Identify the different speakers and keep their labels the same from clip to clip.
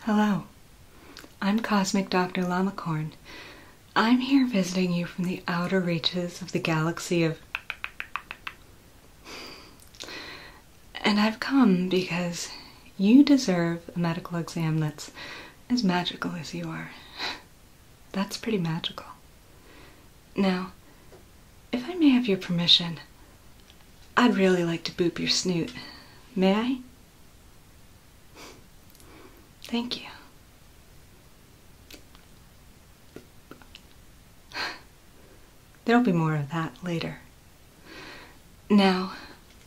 Speaker 1: Hello, I'm Cosmic Dr. Lamacorn. I'm here visiting you from the outer reaches of the galaxy of. And I've come because you deserve a medical exam that's as magical as you are. That's pretty magical. Now, if I may have your permission, I'd really like to boop your snoot. May I? Thank you. There'll be more of that later. Now,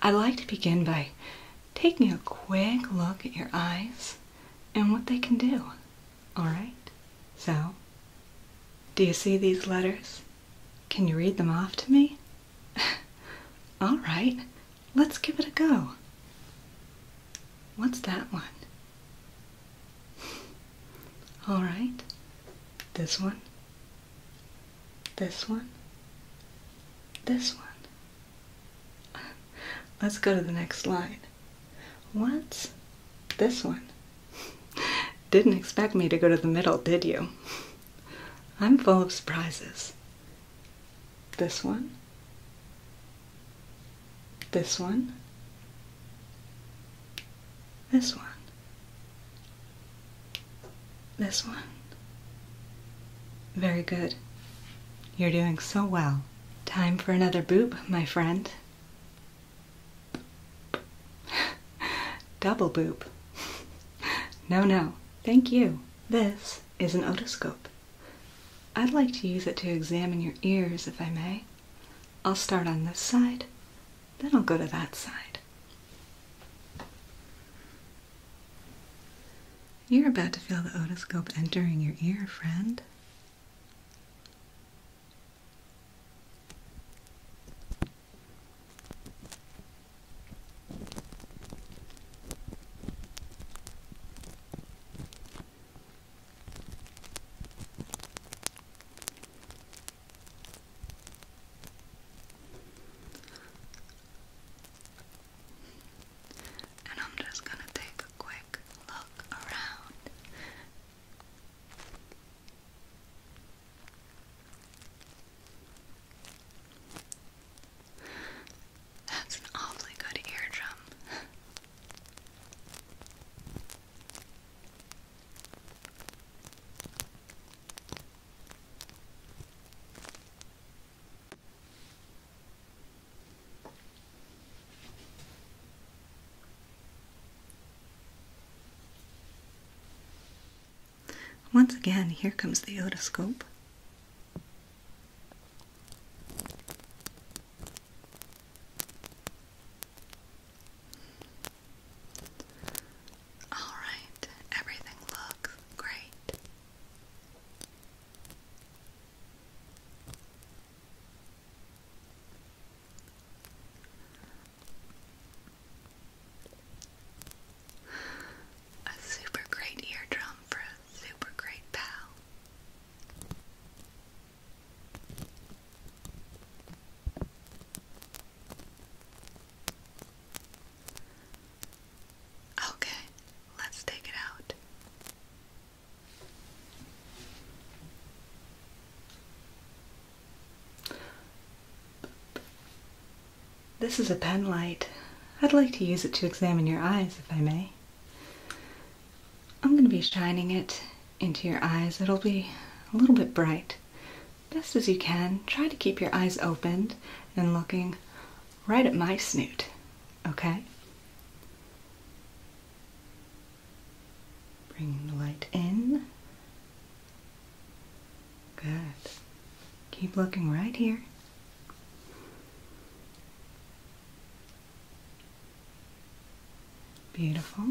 Speaker 1: I'd like to begin by taking a quick look at your eyes and what they can do. Alright? So, do you see these letters? Can you read them off to me? All right, let's give it a go. What's that one? All right, this one, this one, this one. Let's go to the next line. What's this one? Didn't expect me to go to the middle, did you? I'm full of surprises. This one? This one? This one? This one? Very good. You're doing so well. Time for another boob, my friend. Double boob. no, no, thank you. This is an otoscope. I'd like to use it to examine your ears, if I may. I'll start on this side, then I'll go to that side. You're about to feel the otoscope entering your ear, friend. And I'm just going to take a quick look around. That's an awfully good eardrum. Once again, here comes the otoscope. All right, everything looks great. A super great eardrum for a super great pal. Okay, let's take it out. This is a pen light. I'd like to use it to examine your eyes, if I may. I'm going to be shining it into your eyes. It'll be a little bit bright. Best as you can, try to keep your eyes opened and looking right at my snoot, okay? Bring the light in Good. Keep looking right here. Beautiful.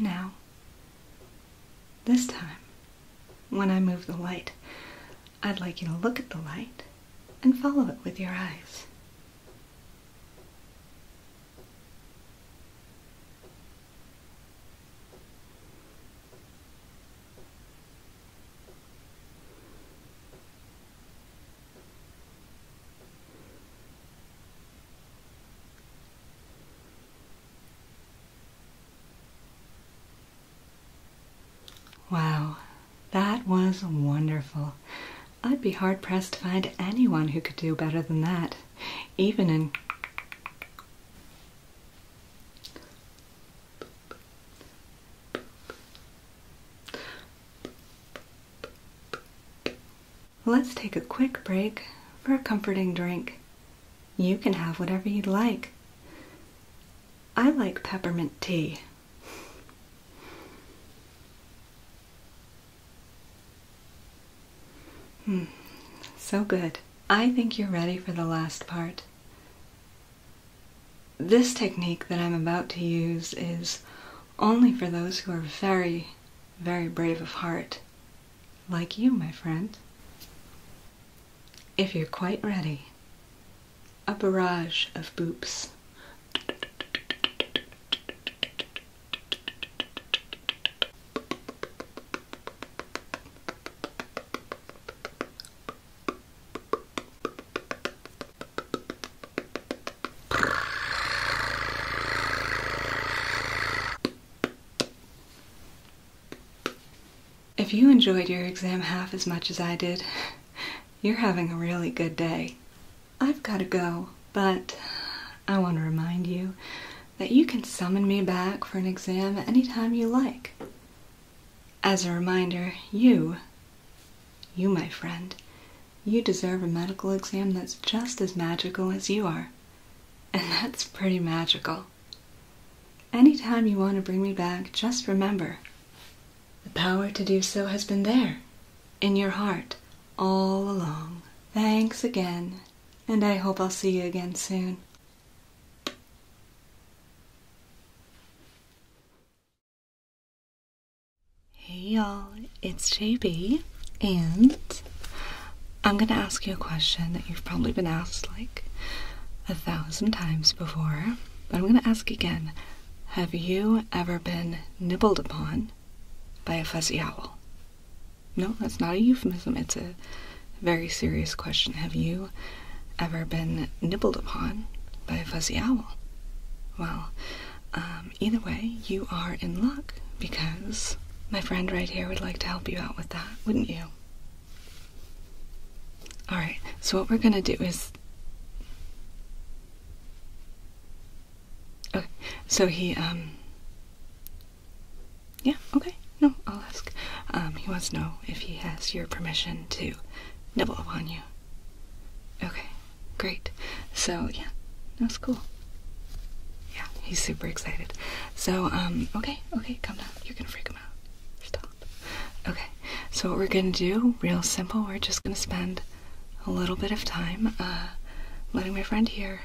Speaker 1: Now, this time, when I move the light, I'd like you to look at the light and follow it with your eyes. Wow, that was wonderful. I'd be hard pressed to find anyone who could do better than that, even in Let's take a quick break for a comforting drink. You can have whatever you'd like. I like peppermint tea. Hmm. So good. I think you're ready for the last part. This technique that I'm about to use is only for those who are very, very brave of heart, like you, my friend. If you're quite ready, a barrage of boops. If you enjoyed your exam half as much as I did, you're having a really good day. I've got to go, but I want to remind you that you can summon me back for an exam at any time you like. As a reminder, you, you, my friend, you deserve a medical exam that's just as magical as you are. And that's pretty magical. Anytime you want to bring me back, just remember the power to do so has been there, in your heart, all along. Thanks again, and I hope I'll see you again soon. Hey y'all, it's JB, and I'm gonna ask you a question that you've probably been asked like a thousand times before, but I'm gonna ask again. Have you ever been nibbled upon by a fuzzy owl? No, that's not a euphemism. It's a very serious question. Have you ever been nibbled upon by a fuzzy owl? Well, um, either way, you are in luck because my friend right here would like to help you out with that, wouldn't you? Alright, so what we're gonna do is. so he, um. Yeah, okay. No, I'll ask. Um, he wants to know if he has your permission to nibble upon you. Okay, great. So, yeah, that's cool. Yeah, he's super excited. So, um, okay, okay, calm down. You're gonna freak him out. Stop. Okay, so what we're gonna do, real simple, we're just gonna spend a little bit of time, uh, letting my friend here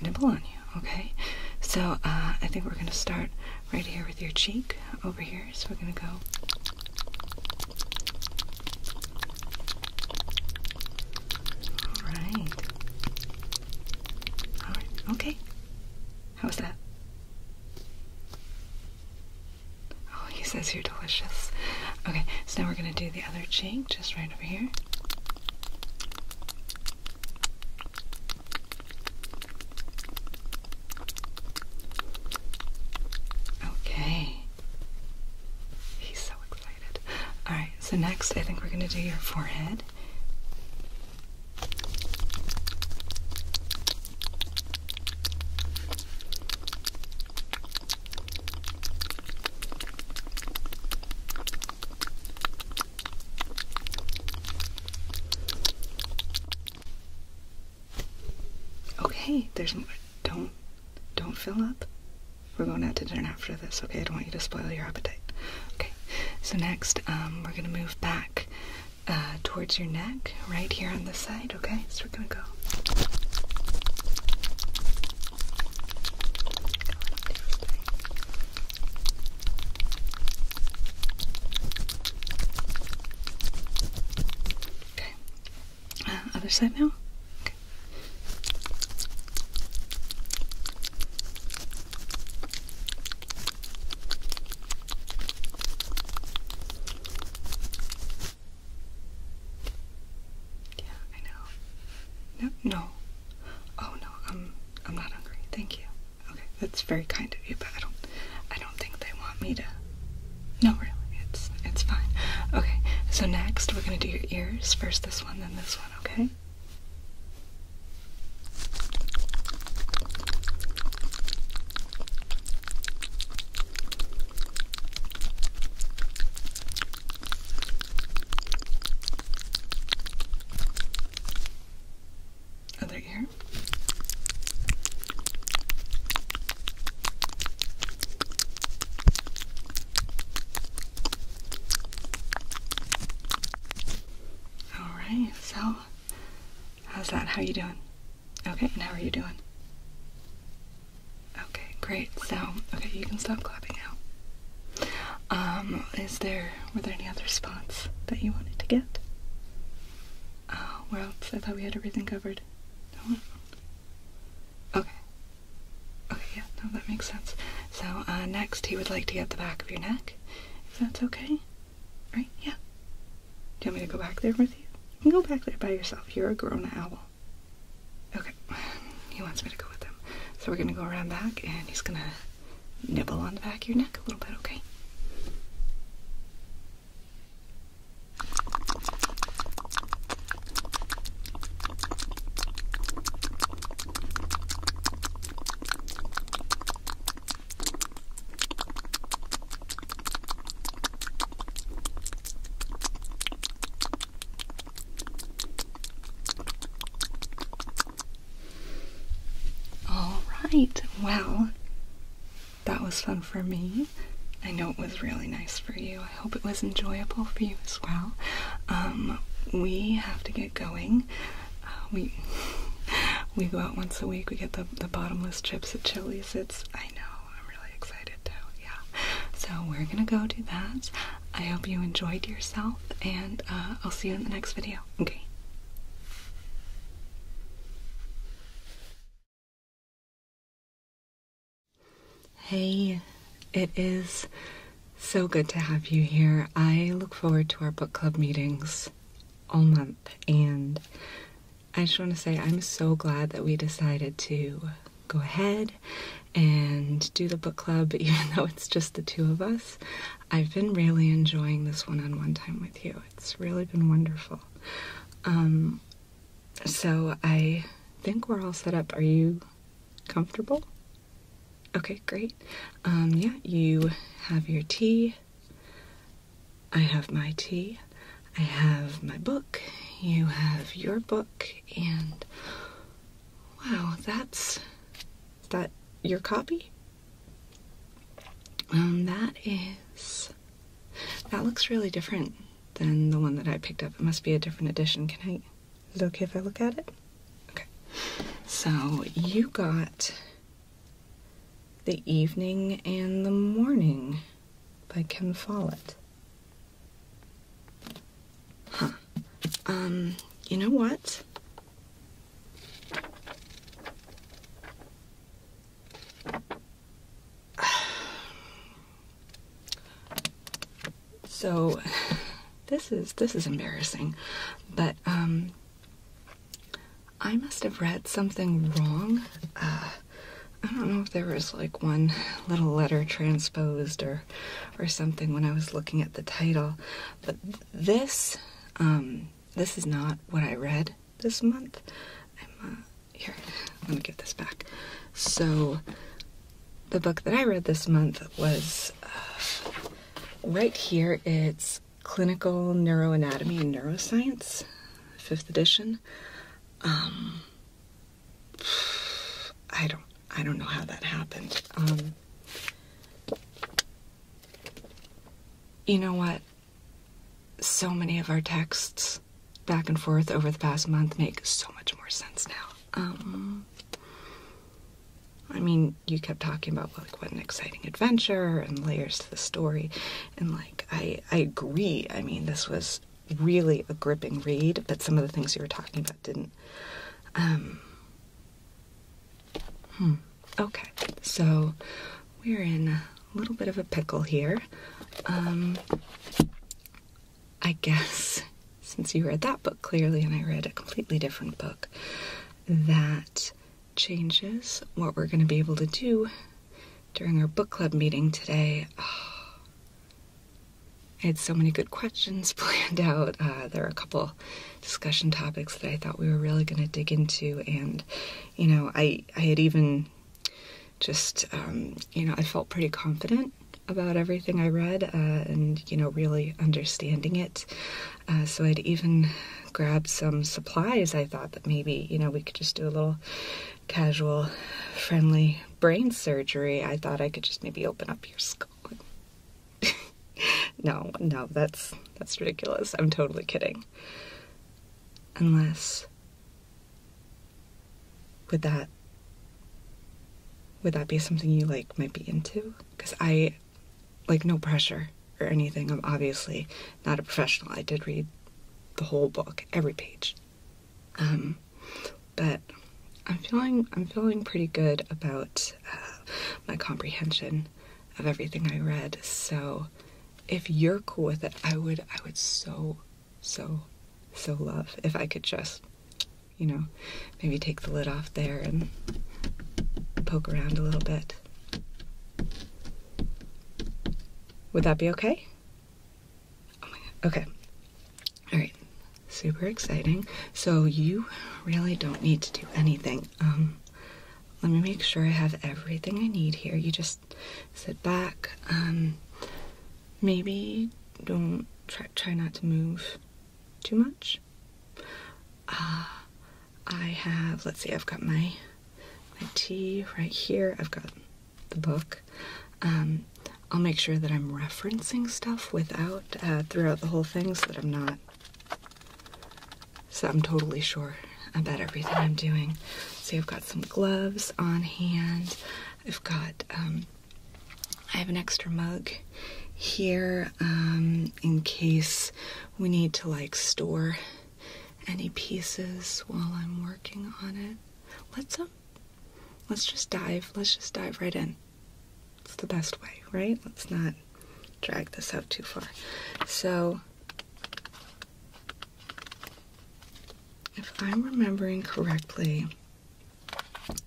Speaker 1: nibble on you, okay? So uh, I think we're gonna start right here with your cheek over here. So we're gonna go. All right. All right. Okay. How was that? Oh, he says you're delicious. Okay, so now we're gonna do the other cheek, just right over here. Okay. He's so excited. Alright, so next I think we're gonna do your forehead. Okay, there's more. Don't, don't fill up. We're going out to dinner after this, okay? I don't want you to spoil your appetite. Okay, so next, um, we're gonna move back uh, towards your neck, right here on the side, okay? So we're gonna Go Okay. Uh, other side now. Yeah, I know. No, no. Oh no, I'm I'm not hungry. Thank you. Okay, that's very kind of you, but I don't I don't think they want me to No really, it's it's fine. Okay, so next we're gonna do your ears. First this one, then this one, okay? Other ear. All right. So, how's that? How you doing? Okay. And how are you doing? Okay. Great. So, okay, you can stop clapping now. Um, is there were there any other spots that you wanted to get? Oh, where else? I thought we had everything covered. No? Okay. Okay, yeah, no, that makes sense. So, uh, next he would like to get the back of your neck, if that's okay. Right? Yeah. Do you want me to go back there with you? You can go back there by yourself. You're a grown owl. Okay. He wants me to go with him. So we're gonna go around back and he's gonna nibble on the back of your neck a little bit, okay? All right, well, that was fun for me. I know it was really nice for you. I hope it was enjoyable for you as well. Um, we have to get going. Uh, we we go out once a week. We get the, the bottomless chips at Chili's. It's I know. I'm really excited too. Yeah. So we're gonna go do that. I hope you enjoyed yourself, and uh, I'll see you in the next video okay? Hey, it is so good to have you here. I look forward to our book club meetings all month, and I just want to say I'm so glad that we decided to go ahead and do the book club, even though it's just the two of us. I've been really enjoying this one on one time with you. It's really been wonderful. Um, so I think we're all set up. Are you comfortable? Okay, great. Um, yeah, you have your tea. I have my tea. I have my book. You have your book. And wow, that's that your copy? Um, that is. That looks really different than the one that I picked up. It must be a different edition. Can I. Is it okay if I look at it? Okay. So you got The Evening and the Morning by Ken Follett. Huh. Um, you know what? So this is this is embarrassing, but um, I must have read something wrong. Uh, I don't know if there was like one little letter transposed or or something when I was looking at the title, but this um, this is not what I read this month. I'm, uh, here, let me give this back. So, the book that I read this month was uh, right here. It's Clinical Neuroanatomy and Neuroscience, fifth edition. Um, I don't, I don't know how that happened. Um, you know what? So many of our texts back and forth over the past month make so much more sense now. Um, I mean, you kept talking about like what an exciting adventure and layers to the story, and like I I agree. I mean, this was really a gripping read, but some of the things you were talking about didn't. Um, Hmm. Okay, so we're in a little bit of a pickle here. Um, I guess since you read that book clearly and I read a completely different book, that changes what we're going to be able to do during our book club meeting today. I had so many good questions planned out. Uh, there are a couple discussion topics that I thought we were really going to dig into. And, you know, I, I had even just, um, you know, I felt pretty confident about everything I read uh, and, you know, really understanding it. Uh, so I'd even grabbed some supplies. I thought that maybe, you know, we could just do a little casual, friendly brain surgery. I thought I could just maybe open up your skull no, no, that's that's ridiculous. I'm totally kidding. Unless would that would that be something you like might be into? Cuz I like no pressure or anything. I'm obviously not a professional. I did read the whole book, every page. Um but I'm feeling I'm feeling pretty good about uh, my comprehension of everything I read. So if you're cool with it, I would I would so so so love if I could just you know maybe take the lid off there and poke around a little bit. Would that be okay? Oh okay. All right. Super exciting. So you really don't need to do anything. Um, let me make sure I have everything I need here. You just sit back. Um, maybe don't try, not to move too much. Uh, I have, let's see, I've got my my tea right here. I've got the book. Um, I'll make sure that I'm referencing stuff without uh, throughout the whole thing so that I'm not so I'm totally sure about everything I'm doing. See, I've got some gloves on hand. I've got, um, I have an extra mug here um, in case we need to like store any pieces while I'm working on it. Let's um, let's just dive. Let's just dive right in. It's the best way, right? Let's not drag this out too far. So, if I'm remembering correctly,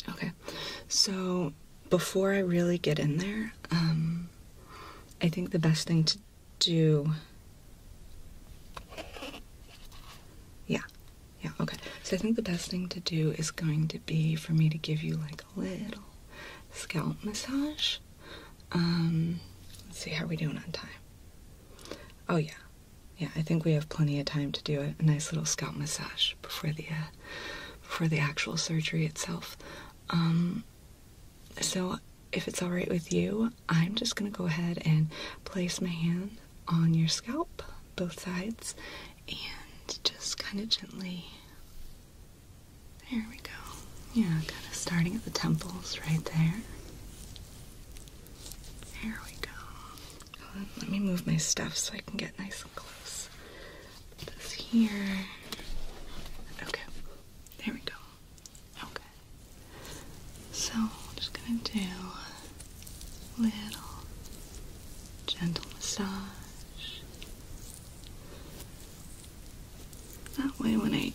Speaker 1: okay, so before I really get in there, um, I think the best thing to do. Yeah, yeah, okay. So I think the best thing to do is going to be for me to give you like little scalp massage. Um, let's see how we're doing on time. Oh yeah, yeah. I think we have plenty of time to do a, nice little scalp massage before the uh, before the actual surgery itself. Um, so if it's all right with you, I'm just gonna go ahead and place my hand on your scalp, both sides, and just kind of gently there we go. Yeah, kind of starting at the temples right there. There we go. let me move my stuff so I can get nice and close. this here. Okay. There we go. Okay. So I'm just gonna do little gentle massage. That way when I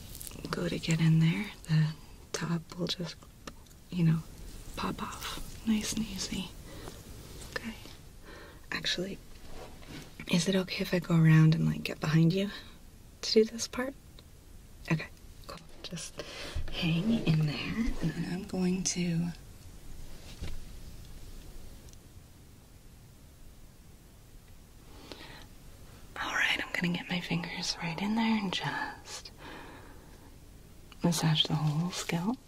Speaker 1: go to get in there, the top will just, you know, pop off nice and easy. Okay. Actually, is it okay if I go around and like get behind you to do this part? Okay, cool. Just hang in there and I'm going to Alright, I'm gonna get my fingers right in there and just massage the whole scalp.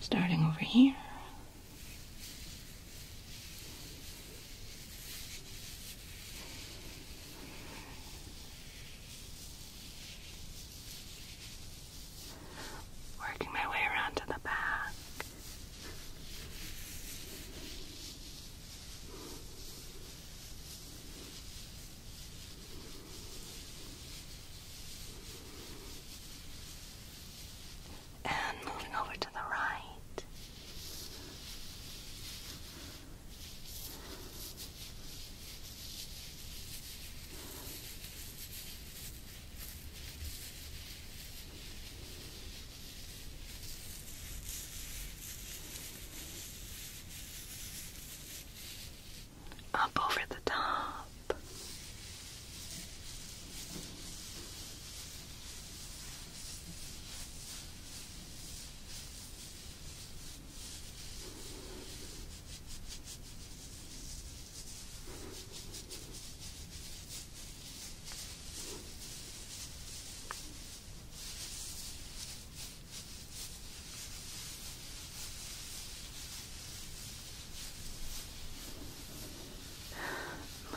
Speaker 1: Starting over here. Working my way around to the back. And moving over to the right. Up over the top.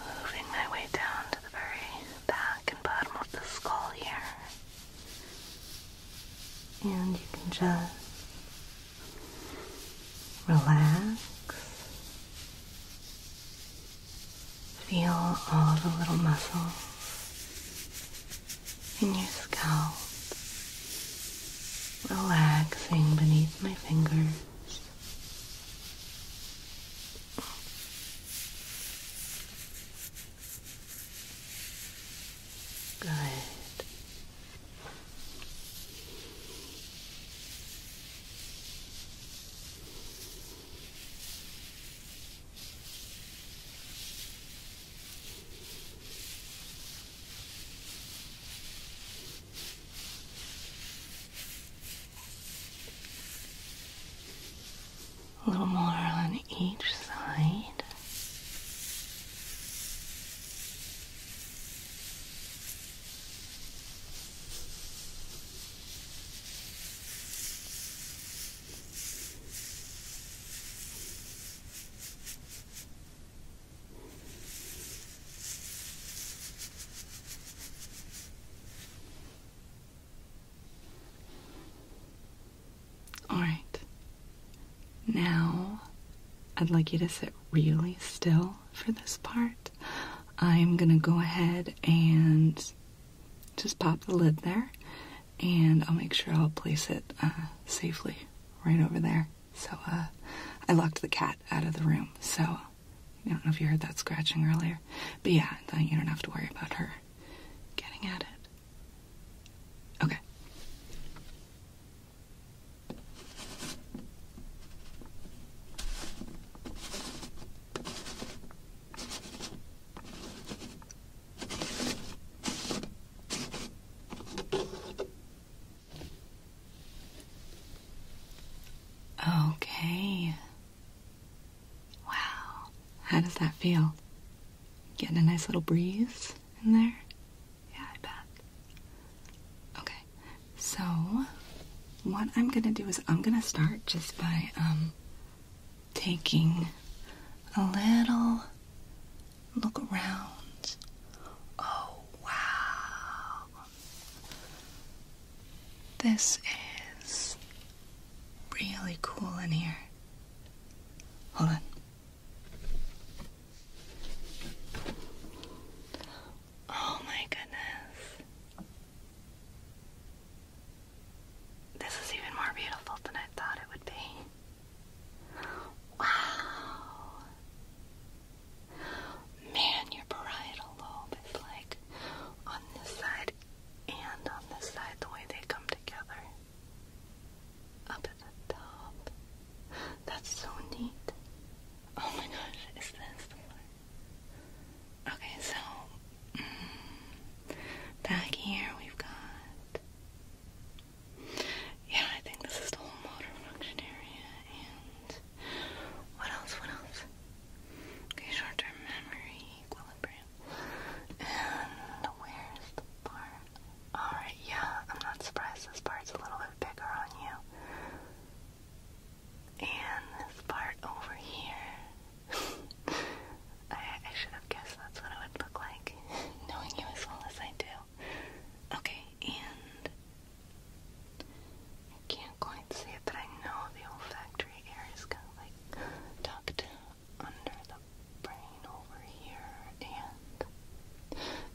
Speaker 1: Moving my way down to the very back and bottom of the skull here. And you can just Relax. Feel all the little muscles in your scalp relaxing beneath my fingers. Good. A little more on each side. All right. Now, I'd like you to sit really still for this part. I'm gonna go ahead and just pop the lid there, and I'll make sure I'll place it uh, safely right over there. So, uh, I locked the cat out of the room, so I don't know if you heard that scratching earlier, but yeah, you don't have to worry about her getting at it. Okay. Okay. Wow. How does that feel? Getting a nice little breeze in there? Yeah, I bet. Okay, so what I'm gonna do is I'm gonna start just by um, taking a little look around. Oh wow. This is really cool in here. Hold on. Oh my goodness. This is even more beautiful than I thought it would be. Wow. Man, your parietal lobe is like on this side and on this side, the way they come together. Up at the top. That's so neat. Oh my gosh, is this the one? Okay, so mm, back here we've got. Yeah, I think this is the whole motor function area. And what else? What else? Okay, short term memory, equilibrium. And where's the part? Alright, yeah, I'm not surprised this part's a little bit bigger on you. And this part over here. I, should have guessed that's what it would look like, knowing you as well as I do. Okay, and I can't quite see it, but I know the olfactory area is kind of like tucked under the brain over here and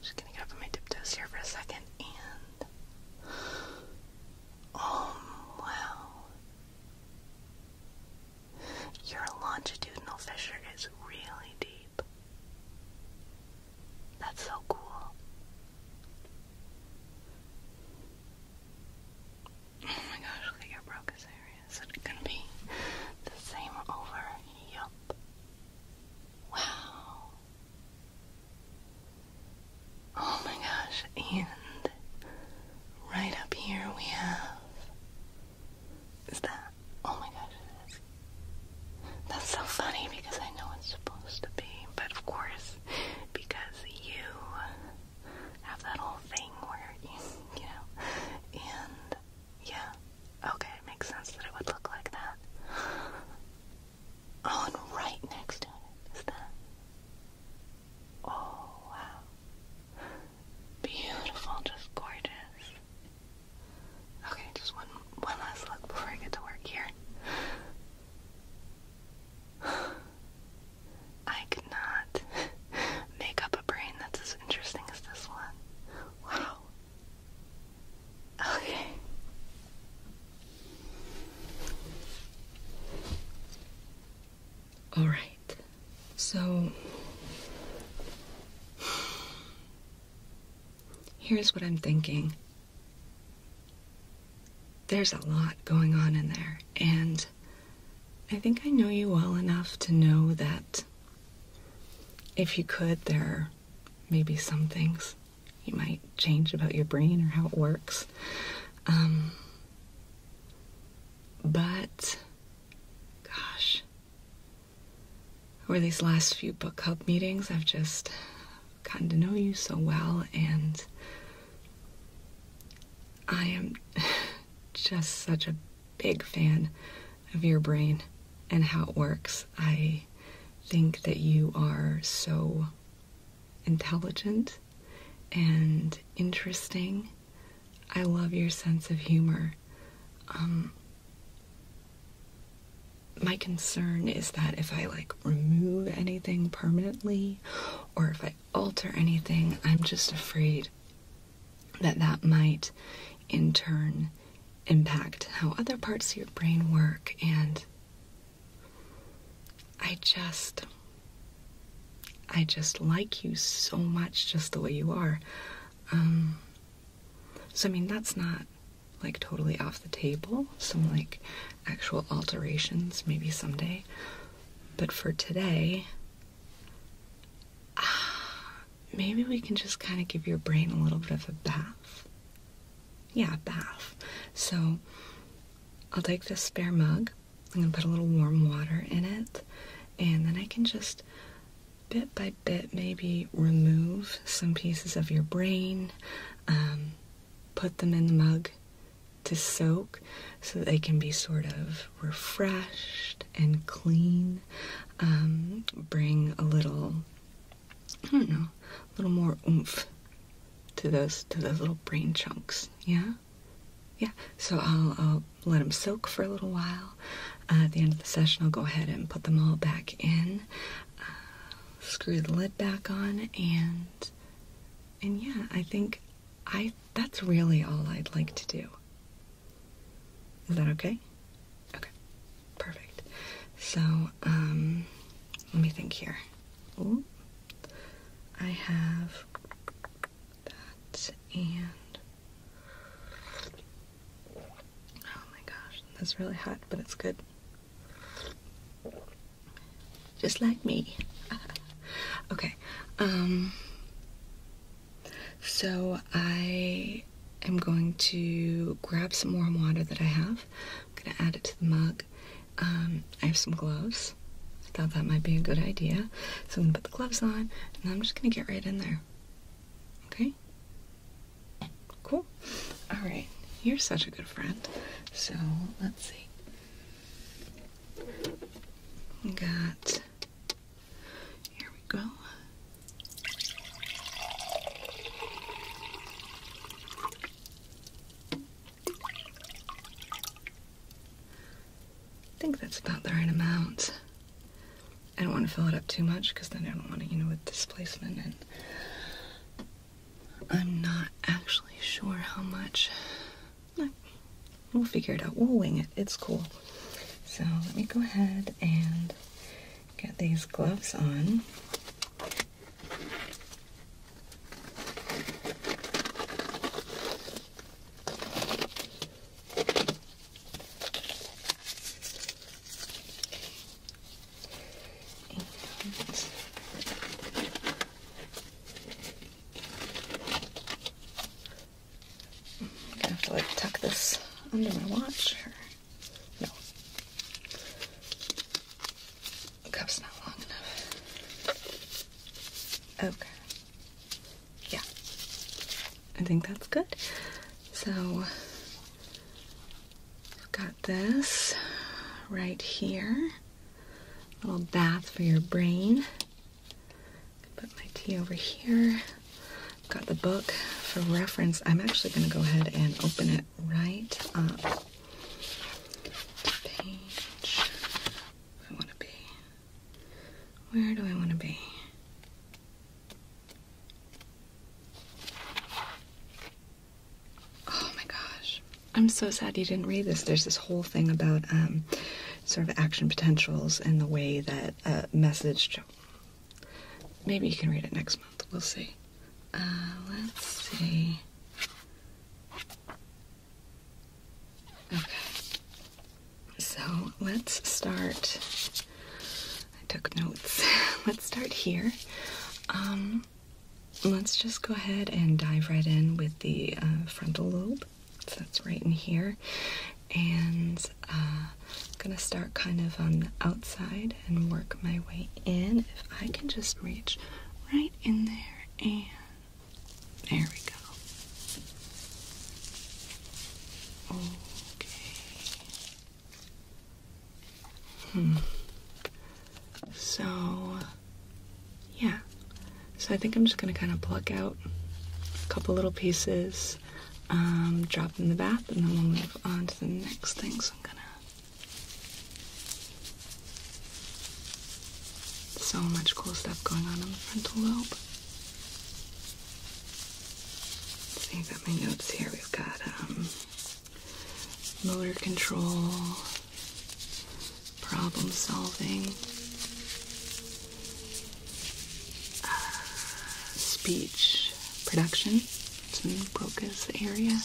Speaker 1: just gonna get up on my tiptoes here for a second and. Oh, wow. Your longitudinal fissure is really deep. That's so cool. Oh my gosh, look at your Broca's area. Is it gonna be the same over? Yup. Wow. Oh my gosh, and right up here we have. Is that? Oh my gosh, it is. That's so funny because I know it's supposed to be, but of course, because you have that whole thing where you, you know, and yeah, okay, it makes sense that it would look like that. Oh, right next to it is that. Oh, wow. Beautiful, just gorgeous. Okay, just one one last look before I get to work here. I could not make up a brain that's as interesting as this one. Wow. Okay. All right. So. Here's what I'm thinking. There's a lot going on in there, and I think I know you well enough to know that if you could, there may be some things you might change about your brain or how it works. Um, but, gosh, over these last few book club meetings, I've just gotten to know you so well, and I am just such a big fan of your brain and how it works. I think that you are so intelligent and interesting. I love your sense of humor. Um, my concern is that if I like remove anything permanently or if I alter anything, I'm just afraid that that might in turn impact how other parts of your brain work. And I just, I just like you so much just the way you are. Um, so, I mean, that's not like totally off the table. Some like actual alterations maybe someday. But for today, maybe we can just kind of give your brain a little bit of a bath yeah, bath. So I'll take this spare mug. I'm going to put a little warm water in it. And then I can just bit by bit maybe remove some pieces of your brain, um, put them in the mug to soak so they can be sort of refreshed and clean. Um, bring a little I don't know, a little more oomph to those to those little brain chunks. Yeah, yeah. So I'll, let them soak for a little while. at the end of the session, I'll go ahead and put them all back in. Uh, screw the lid back on, and and yeah, I think I that's really all I'd like to do. Is that okay? Okay, perfect. So, um, let me think here. Ooh. I have that and oh my gosh, that's really hot, but it's good. Just like me. okay. Um, so I I'm going to grab some warm water that I have. I'm going to add it to the mug. Um, I have some gloves. I thought that might be a good idea. So I'm going to put the gloves on and I'm just going to get right in there. Okay? Cool. All right. You're such a good friend. So let's see. We got. Here we go. I think that's about the right amount. I don't want to fill it up too much because then I don't want to, you know, with displacement and I'm not actually sure how much. we'll figure it out. We'll wing it. It's cool. So let me go ahead and get these gloves on. I'm gonna have to like tuck this under my watch no. The cup's not long enough. Okay. Yeah. I think that's good. So, I've got this right here. little bath for your brain. Put my tea over here. Got the book for reference. I'm actually going to go ahead and open it right up Where do I want to be? Oh my gosh. I'm so sad you didn't read this. There's this whole thing about um, sort of action potentials and the way that a message. Maybe you can read it next month. We'll see. Uh, let's see. Okay. So let's start. I took notes. let's start here. Um, let's just go ahead and dive right in with the uh, frontal lobe. So that's right in here. And I'm uh, going to start kind of on the outside and work my way in. If I can just reach right in there and there we go. Okay. Hmm. So, yeah. So I think I'm just gonna kind of pluck out a couple little pieces, um, drop in the bath, and then we'll move on to the next thing. So I'm gonna so much cool stuff going on in the frontal lobe. Seeing that my notes here, we've got um, motor control, problem solving, uh, speech production, it's in the Broca's area.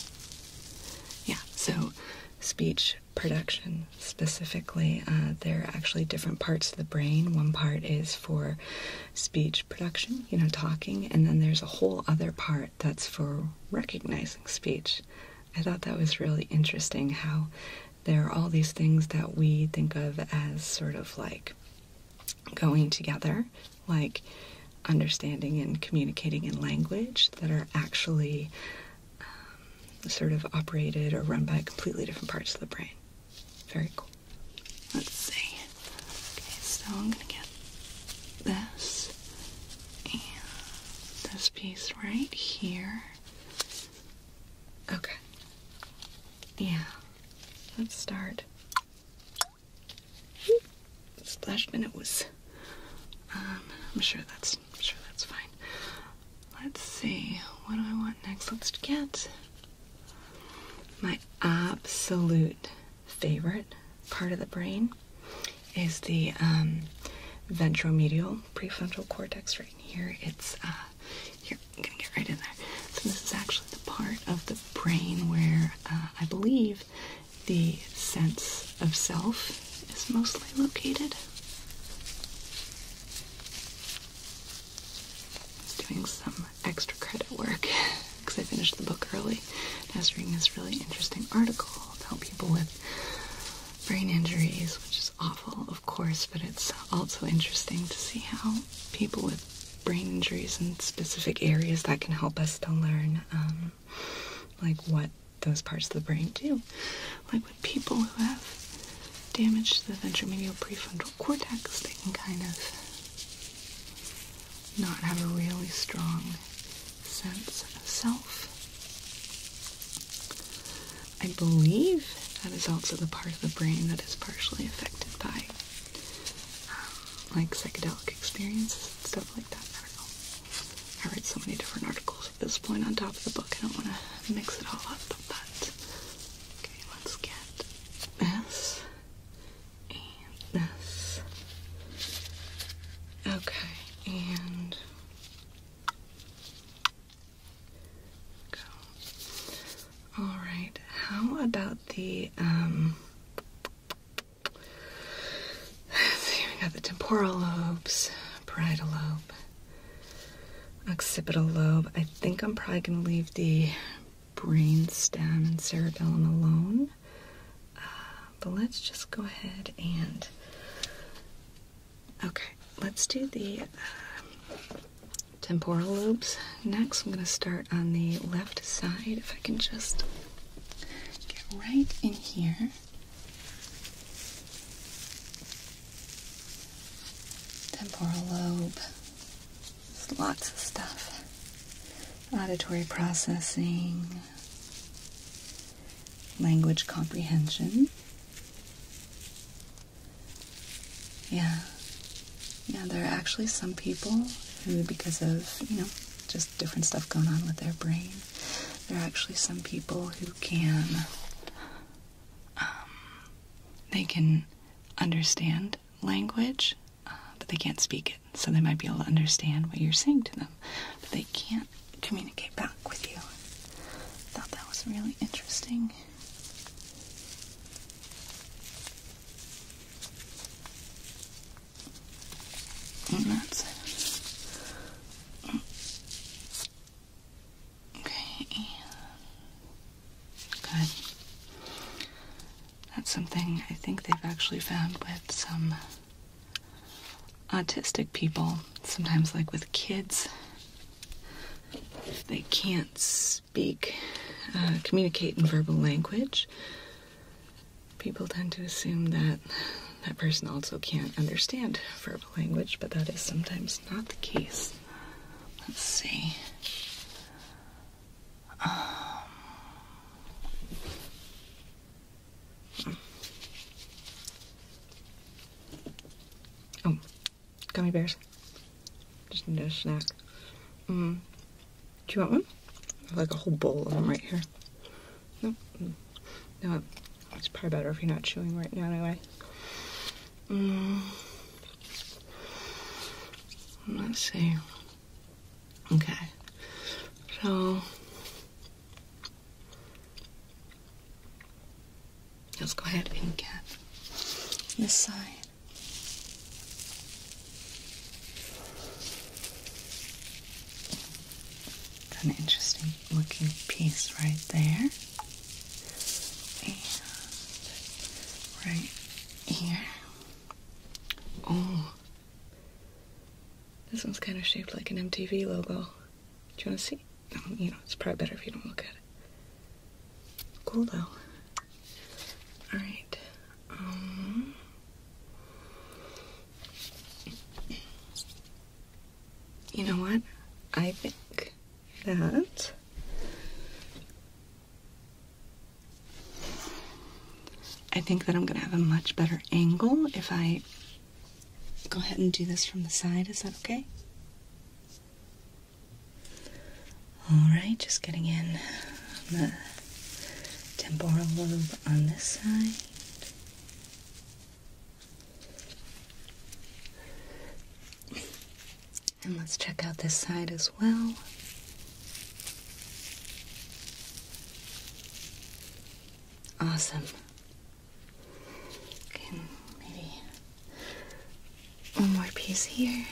Speaker 1: Yeah, so speech production specifically, uh, there are actually different parts of the brain. One part is for speech production, you know, talking, and then there's a whole other part that's for recognizing speech. I thought that was really interesting how there are all these things that we think of as sort of like going together like understanding and communicating in language that are actually um, sort of operated or run by completely different parts of the brain. Very cool. Let's see. Okay, so I'm gonna get this and this piece right here. Okay. Yeah. Let's start Splash minute was. Um, I'm sure that's I'm sure that's fine. Let's see. What do I want next? Let's get my absolute favorite part of the brain is the um, ventromedial prefrontal cortex right here. It's uh, here. I'm gonna get right in there. So this is actually the part of the brain where uh, I believe the sense of self is mostly located. I am doing some extra credit work because I finished the book early. and I was reading this really interesting article about people with brain injuries, which is awful, of course, but it's also interesting to see how people with brain injuries in specific areas that can help us to learn um, like what those parts of the brain do. Like what people who have damage to the ventromedial prefrontal cortex, they can kind of not have a really strong sense of self. I believe that is also the part of the brain that is partially affected by um, like psychedelic experiences and stuff like that. I read so many different articles at this point on top of the book. I don't want to mix it all up, but okay, let's get this and this. Okay, and go. All right. How about the um? we got the temporal lobes, parietal lobe, occipital lobe. I think I'm probably going to leave the brain stem and cerebellum alone. Uh, but let's just go ahead and. Okay, let's do the uh, temporal lobes next. I'm going to start on the left side if I can just Get right in here. Temporal lobe. lots of stuff. Auditory processing. Language comprehension. Yeah. Yeah, there are actually some people who, because of, you know, just different stuff going on with their brain. There are actually some people who can, um, they can understand language, uh, but they can't speak it. So they might be able to understand what you're saying to them, but they can't communicate back with you. I thought that was really interesting that's Okay, good. That's something I think they've actually found with some autistic people, sometimes like with kids. They can't speak, uh, communicate in verbal language people tend to assume that that person also can't understand verbal language, but that is sometimes not the case. Let's see. Um. Oh, gummy bears. Just need a snack. Mm. Do you want one? I have like a whole bowl of them right here. No, mm. no, it's probably better if you're not chewing right now anyway. Mm. Let's see. Okay. So let's go ahead and get this side. It's an interesting looking piece right there. right here. Oh. This one's kind of shaped like an MTV logo. Do you want to see? No, you know, it's probably better if you don't look at it. Cool though. Alright. Um, you know what? I think that I think that I'm going to have a much better angle if I go ahead and do this from the side. Is that okay? All right, just getting in the temporal lobe on this side. And let's check out this side as well. Awesome. maybe one more piece here.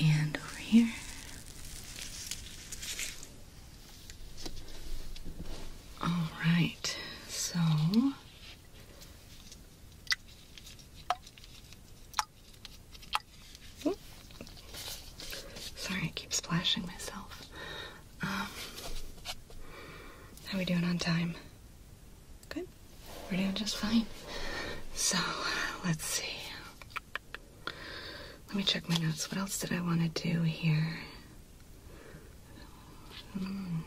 Speaker 1: And over here. All right, so sorry, I keep splashing myself. Um, how are we doing on time? Good, we're doing just fine. So let's see. Let me check my notes. What else did I want to do here? Hmm.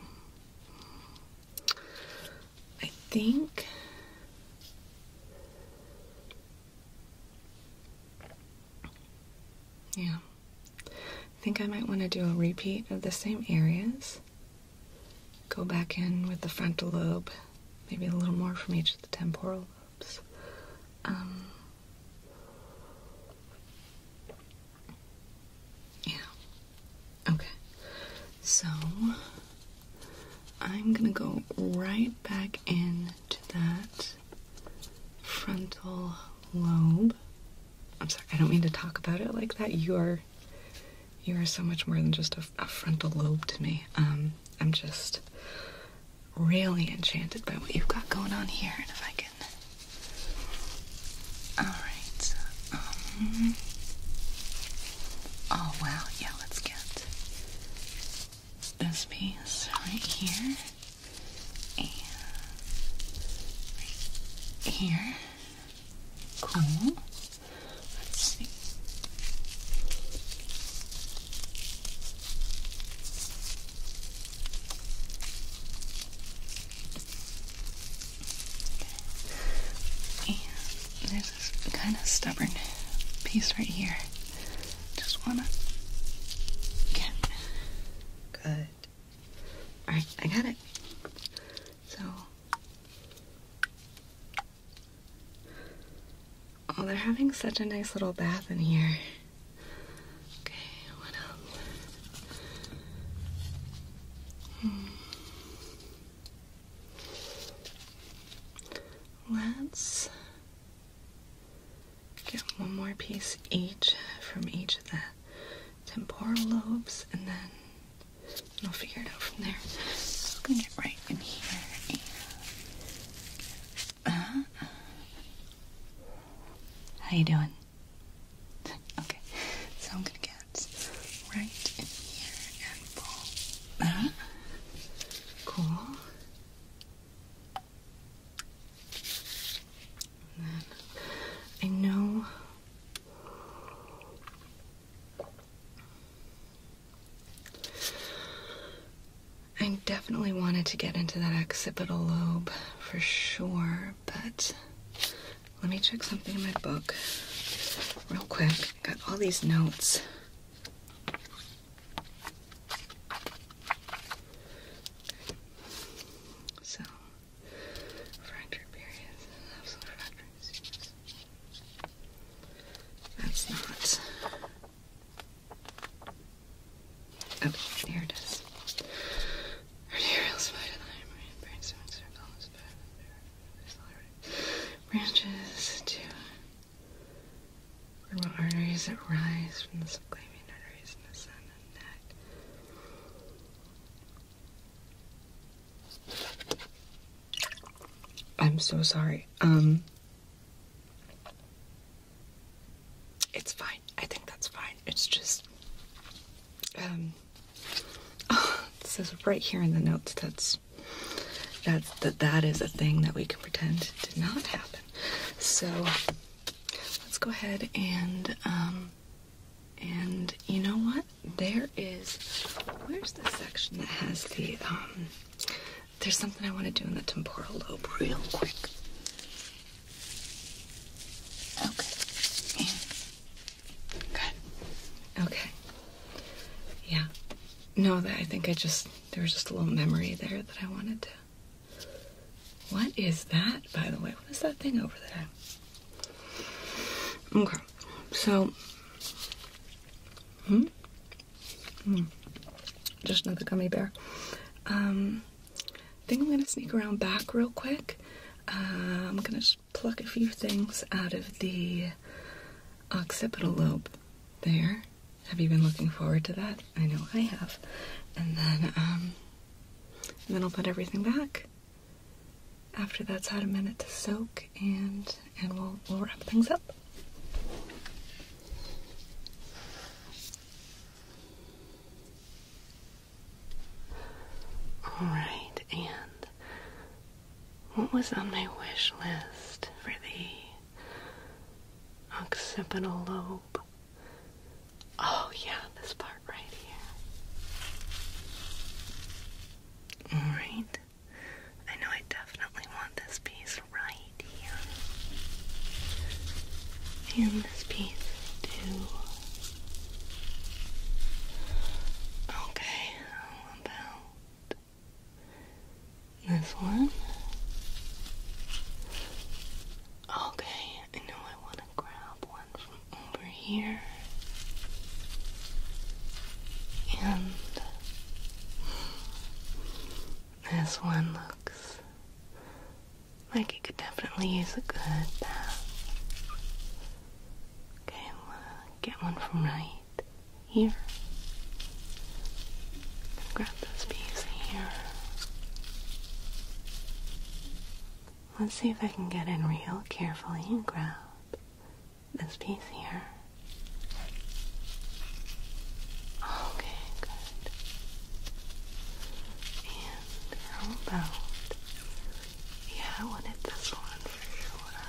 Speaker 1: I think. Yeah. I think I might want to do a repeat of the same areas. Go back in with the frontal lobe, maybe a little more from each of the temporal um, yeah. Okay. So I'm gonna go right back into that frontal lobe. I'm sorry, I don't mean to talk about it like that. You are you are so much more than just a, frontal lobe to me. Um, I'm just really enchanted by what you've got going on here. And if I can. Alright. Um, oh, wow. Yeah, let's get this piece right here. And here. Cool. Let's see. And there's this kind of stubborn piece right here. Just wanna get good. Alright, I got it. So Oh, they're having such a nice little bath in here. Okay, what else? Hmm. Let's get one more piece each from each of the temporal lobes and then we will figure it out from there right in here uh, how you doing? Okay, so I'm gonna get right in here and pull. Uh, cool. then I know I definitely wanted to get into that occipital lobe for sure, but let me check something in my book real quick. got all these notes. So, fracture periods, That's not Oh, here Arterial spider line, branches to femoral arteries that rise from the subclavian arteries in the neck. I'm so sorry. Um, it's fine. I think that's fine. It's just um it says right here in the notes that's that that that is a thing that we can pretend did not happen. So let's go ahead and um and you know what? There is where's the section that has the um there's something I want to do in the temporal lobe real quick. Okay. good. Okay. Yeah. No, that I think I just there was just a little memory there that I wanted to. What is that, by the way? What is that thing over there? Okay. So. Hmm. Hmm. Just another gummy bear. Um, I think I'm gonna sneak around back real quick. Uh, I'm gonna pluck a few things out of the occipital lobe there. Have you been looking forward to that? I know I have. And then, um, and then I'll put everything back. After that's had a minute to soak and and we'll, wrap things up. All right, and what was on my wish list for thee? occipital lobe? Oh, yeah, this part right here. All right. I know I definitely want this piece right here. And this piece too. Okay, how about this one? Okay, I know I want to grab one from over here. And this one looks like it could definitely use a good bath. Okay, I'm get one from right here. Grab this piece here. Let's see if I can get in real carefully and grab this piece here. Okay, good. And how about? Yeah, I wanted this one for sure.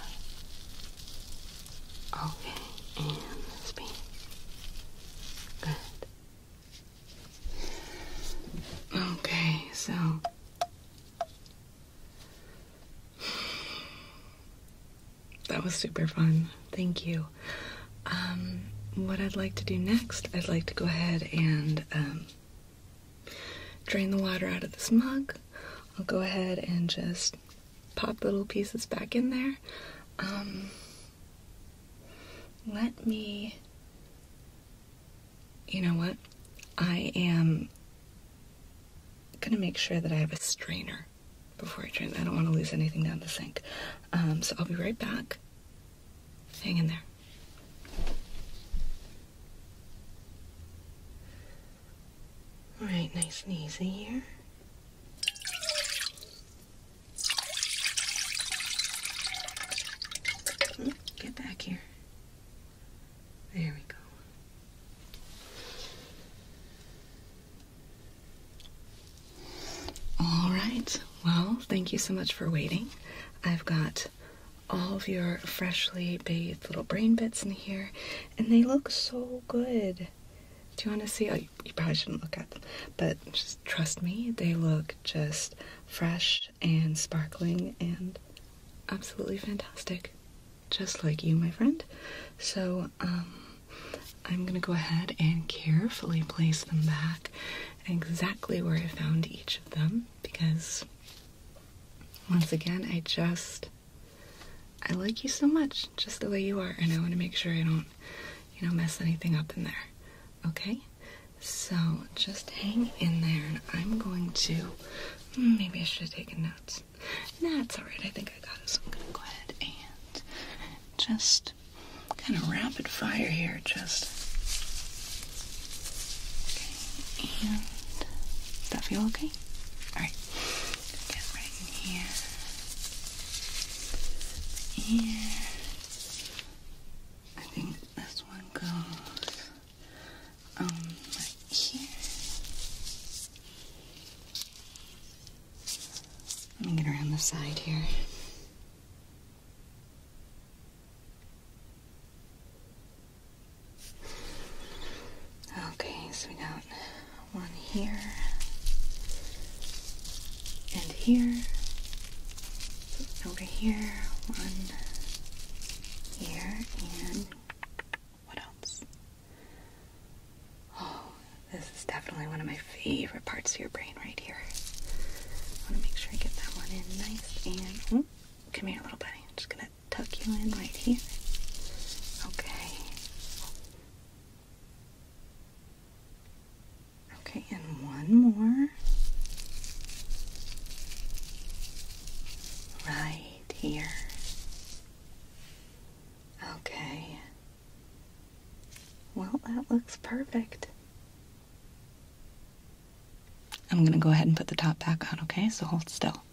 Speaker 1: Okay, and this piece. Good. Okay, so that was super fun. Thank you. Um, what I'd like to do next, I'd like to go ahead and um, drain the water out of this mug. I'll go ahead and just pop little pieces back in there. Um, let me. You know what? I am gonna make sure that I have a strainer before I drain. I don't want to lose anything down the sink. Um, so I'll be right back. Hang in there. All right, nice and easy here. Hmm, get back here. There we go. All right. Well, thank you so much for waiting. I've got all of your freshly bathed little brain bits in here, and they look so good. Do you want to see? Oh, you, probably shouldn't look at them, but just trust me, they look just fresh and sparkling and absolutely fantastic. Just like you, my friend. So, um, I'm gonna go ahead and carefully place them back exactly where I found each of them because once again I just I like you so much just the way you are and I want to make sure I don't you know mess anything up in there okay so just hang in there and I'm going to hmm, maybe I should have taken notes nah, it's alright. I think I got it. So I'm gonna go ahead and just kind of rapid fire here. Just okay. And that feel okay? Alright. Get right here. Yeah. I think this one goes um right here. Let me get around the side here. Okay, so we got one here and here, over here, one here, and what else? Oh, this is definitely one of my favorite parts of your brain right here. I want to make sure I get that one in nice and. Oh, come here, little buddy. I'm just going to tuck you in right here. Okay. Okay, and one more. Right here. Okay. Well, that looks perfect. I'm going to go ahead and put the top back on, okay? So hold still.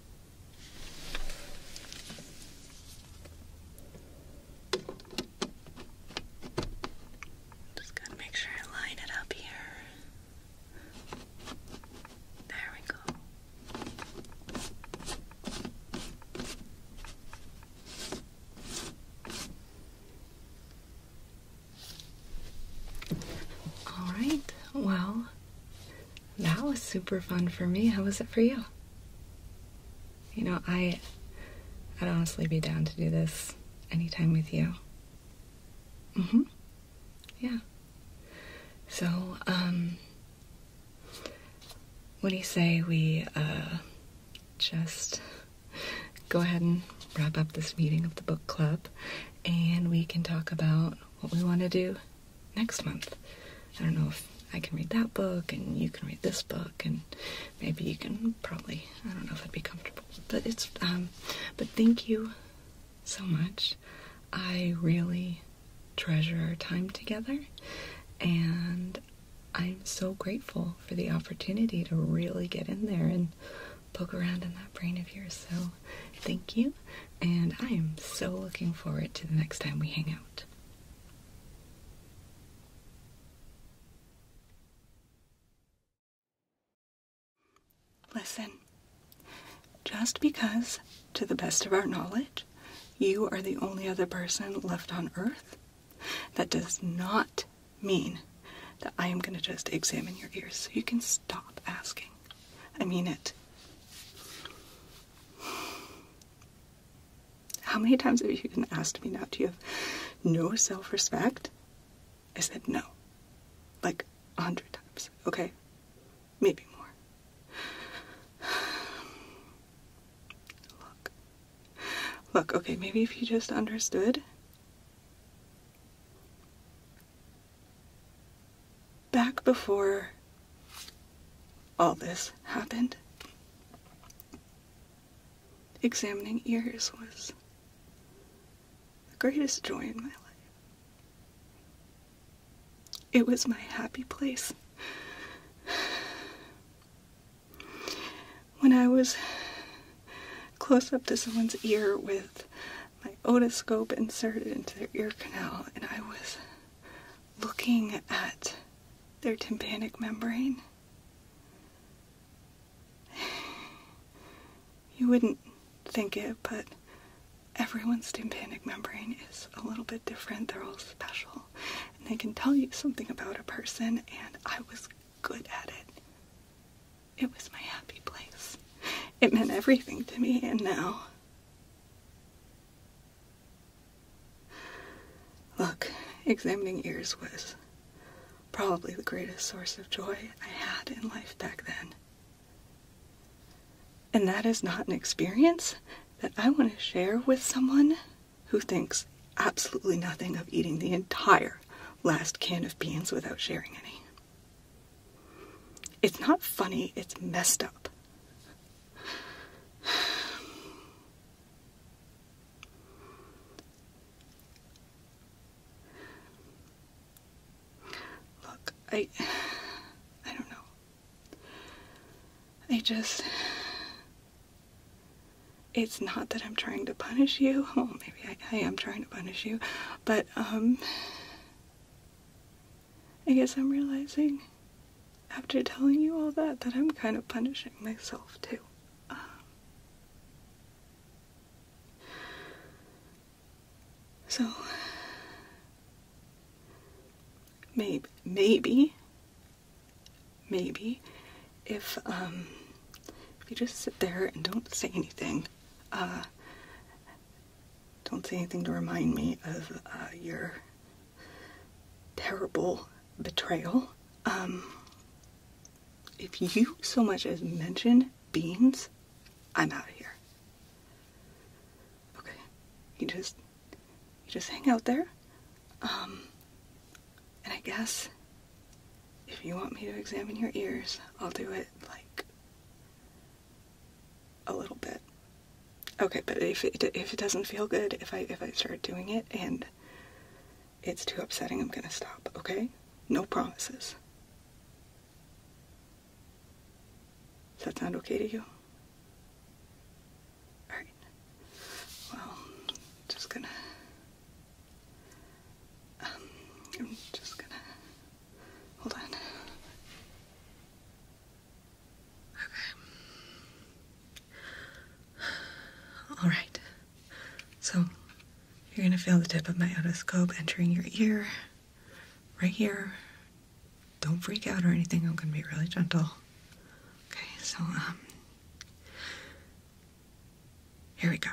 Speaker 1: Just got to make sure I line it up here. There we go. All right, well, that was super fun for me. How was it for you? You know, I I'd honestly be down to do this anytime with you. Mm-hmm. Yeah. So, um, what do you say we uh, just go ahead and wrap up this meeting of the book club and we can talk about what we want to do next month? I don't know if I can read that book and you can read this book and maybe you can probably, I don't know if I'd be comfortable, but it's, um, but thank you so much. I really treasure our time together and I'm so grateful for the opportunity to really get in there and poke around in that brain of yours. So, thank you, and I am so looking forward to the next time we hang out. Listen, just because, to the best of our knowledge, you are the only other person left on Earth that does not mean that I am going to just examine your ears. So you can stop asking. I mean it. How many times have you been asked me now? Do you have no self respect? I said no. Like a hundred times. Okay? Maybe more. Look, Look, okay, maybe if you just understood. Back before all this happened, examining ears was the greatest joy in my life. It was my happy place when I was close up to someone's ear with my otoscope inserted into their ear canal, and I was looking at their tympanic membrane. You wouldn't think it, but everyone's tympanic membrane is a little bit different. They're all special and they can tell you something about a person and I was good at it. It was my happy place. It meant everything to me and now Look, examining ears was probably the greatest source of joy I had in life back then. And that is not an experience that I want to share with someone who thinks absolutely nothing of eating the entire last can of beans without sharing any. It's not funny, it's messed up. Look, I. I don't know. I just it's not that I'm trying to punish you. Well, maybe I, am trying to punish you, but um, I guess I'm realizing after telling you all that that I'm kind of punishing myself too. so maybe maybe maybe if um if you just sit there and don't say anything uh don't say anything to remind me of uh, your terrible betrayal um if you so much as mention beans i'm out of here okay you just you just hang out there. Um, and I guess if you want me to examine your ears, I'll do it like a little bit. Okay, but if it, if it doesn't feel good, if I if I start doing it and it's too upsetting, I'm gonna stop. Okay, no promises. Does that sound okay to you? Alright. Well, just gonna. Um, I'm just gonna. Hold on. Okay. Alright. So, you're gonna feel the tip of my otoscope entering your ear. Right here. Don't freak out or anything. I'm gonna be really gentle. Okay, so, um, here we go.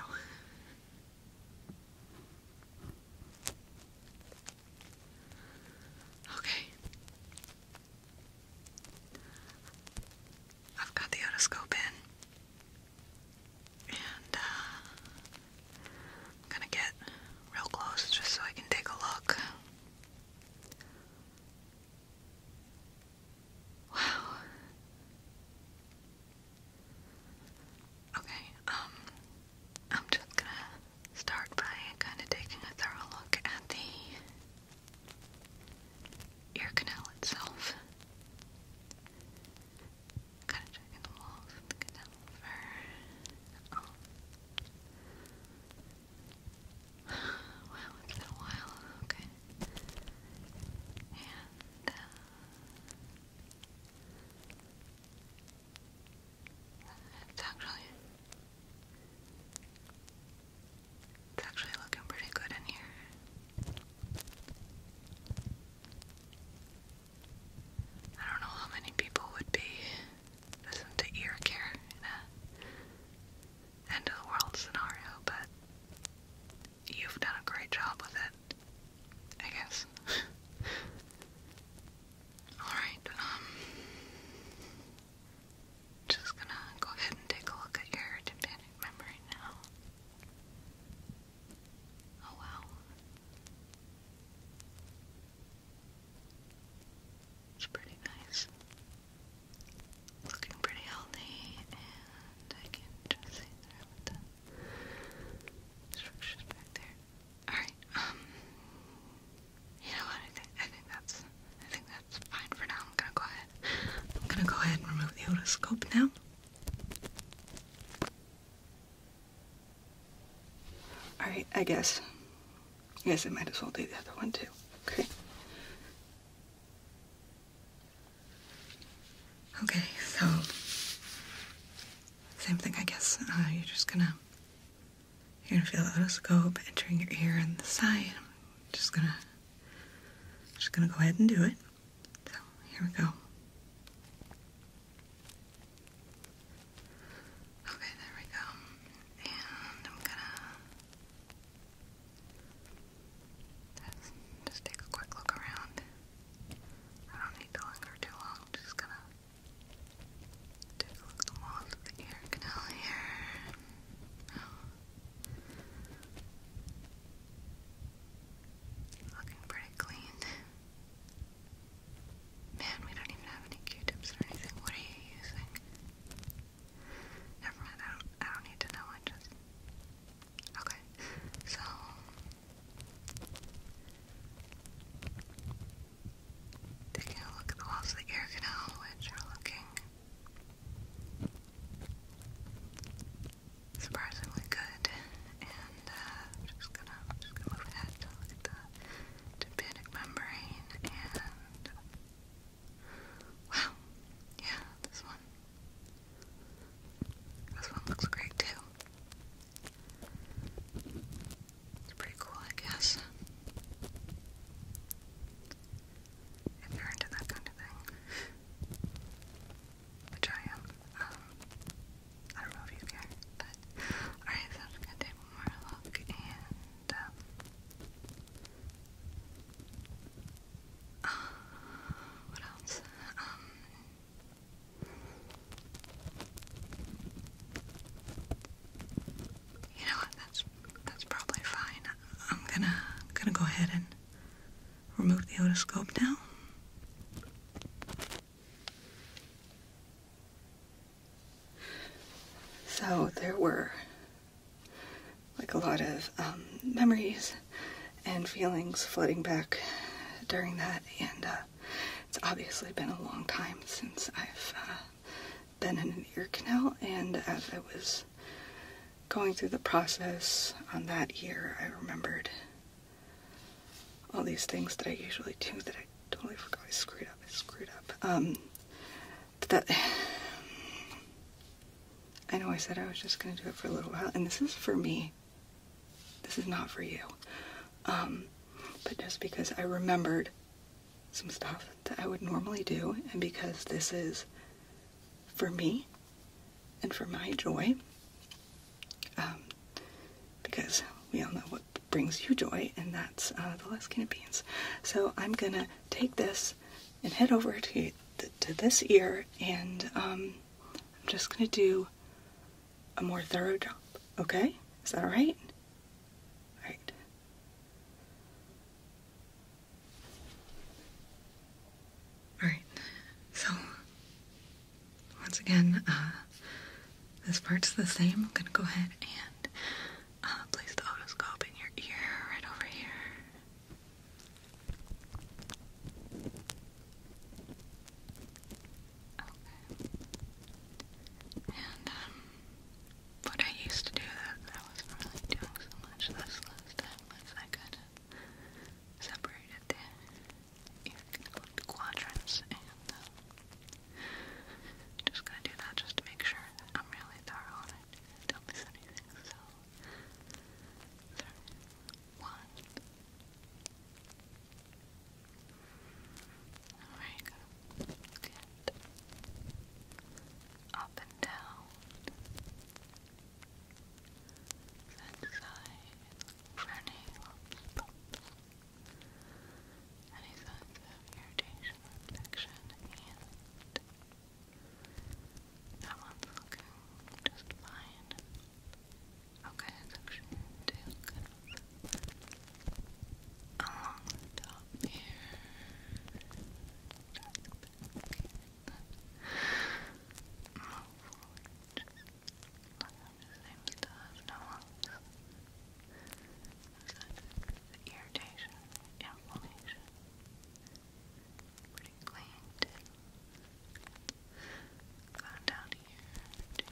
Speaker 1: Okay. I've got the otoscope in, and uh, I'm gonna get real close just so I can take a look. Wow. Okay, um, I'm just gonna start by kind of taking a thorough look at the ear canal itself. Kind of checking the walls of the canal for. Wow, it's been a while, okay. And, it's actually, it's actually looking pretty good in here. I don't know how many people would be listening to ear care in a end of the world scenario, but you've done a great job with it, I guess. Alright, um, just gonna go ahead and take a look at your tympanic memory now. Oh wow. It's pretty nice looking pretty healthy, and I can just see the structures back there. Alright, um, you know what, I think, I think that's, I think that's fine for now, I'm gonna go ahead, I'm gonna go ahead and remove the otoscope now. Alright, I guess. I guess I might as well do the other one too. Okay. Okay, so same thing, I guess. Uh, you're just gonna you're gonna feel the otoscope entering your ear and the side. just gonna just gonna go ahead and do it. So here we go. Okay, there we go. And I'm gonna let just take a quick look around. I don't need to linger too long. just gonna take a look at the ear canal here. Looking pretty clean. Man, we don't even have any Q-tips or anything. What are you using? Never mind, I don't, I don't need to know, I just... Okay, so... Taking a look at the walls of the ear canal, which are looking surprisingly good, and uh, just gonna, just gonna move ahead to the tympanic membrane and Wow. Yeah, this one. This one looks great too. It's pretty cool, I guess. If you're into that kind of thing. Which I am. Um, I don't know if you care, but alright, so I'm just gonna take one more look and Ah, what else? Um, you know what? That's that's probably fine. I'm gonna gonna go ahead and remove the otoscope now. So there were like a lot of um, memories and feelings flooding back during that, and uh, it's obviously been a long time since I've uh, been in an ear canal, and as I was going through the process on that year, I remembered all these things that I usually do that I totally forgot I screwed up. I screwed up. Um, I know I said I was just gonna do it for a little while, and this is for me. This is not for you. Um, but just because I remembered some stuff that I would normally do, and because this is for me and for my joy, um, because we all know what brings you joy, and that's uh, the Les Canadians. So I'm gonna take this and head over to, to this ear and um, I'm just going to do a more thorough job. Okay? Is that alright? Alright. Alright. So, once again, uh, this part's the same. I'm going to go ahead and uh, place the otoscope in your ear right over here. Okay. And, um, what I used to do that I wasn't really doing so much this last was I kind of separated the, quadrants and, um, just gonna do that just to make sure that I'm really thorough on it anything. So, three, one. There you go. Good. Up and down. That side. Running. Any signs of irritation or infection and that one's looking just fine. Okay, it's actually doing good. Along the top here. Just back here. Move forward. Just look at the same stuff. No one irritation, inflammation. Pretty clean too. Go down here to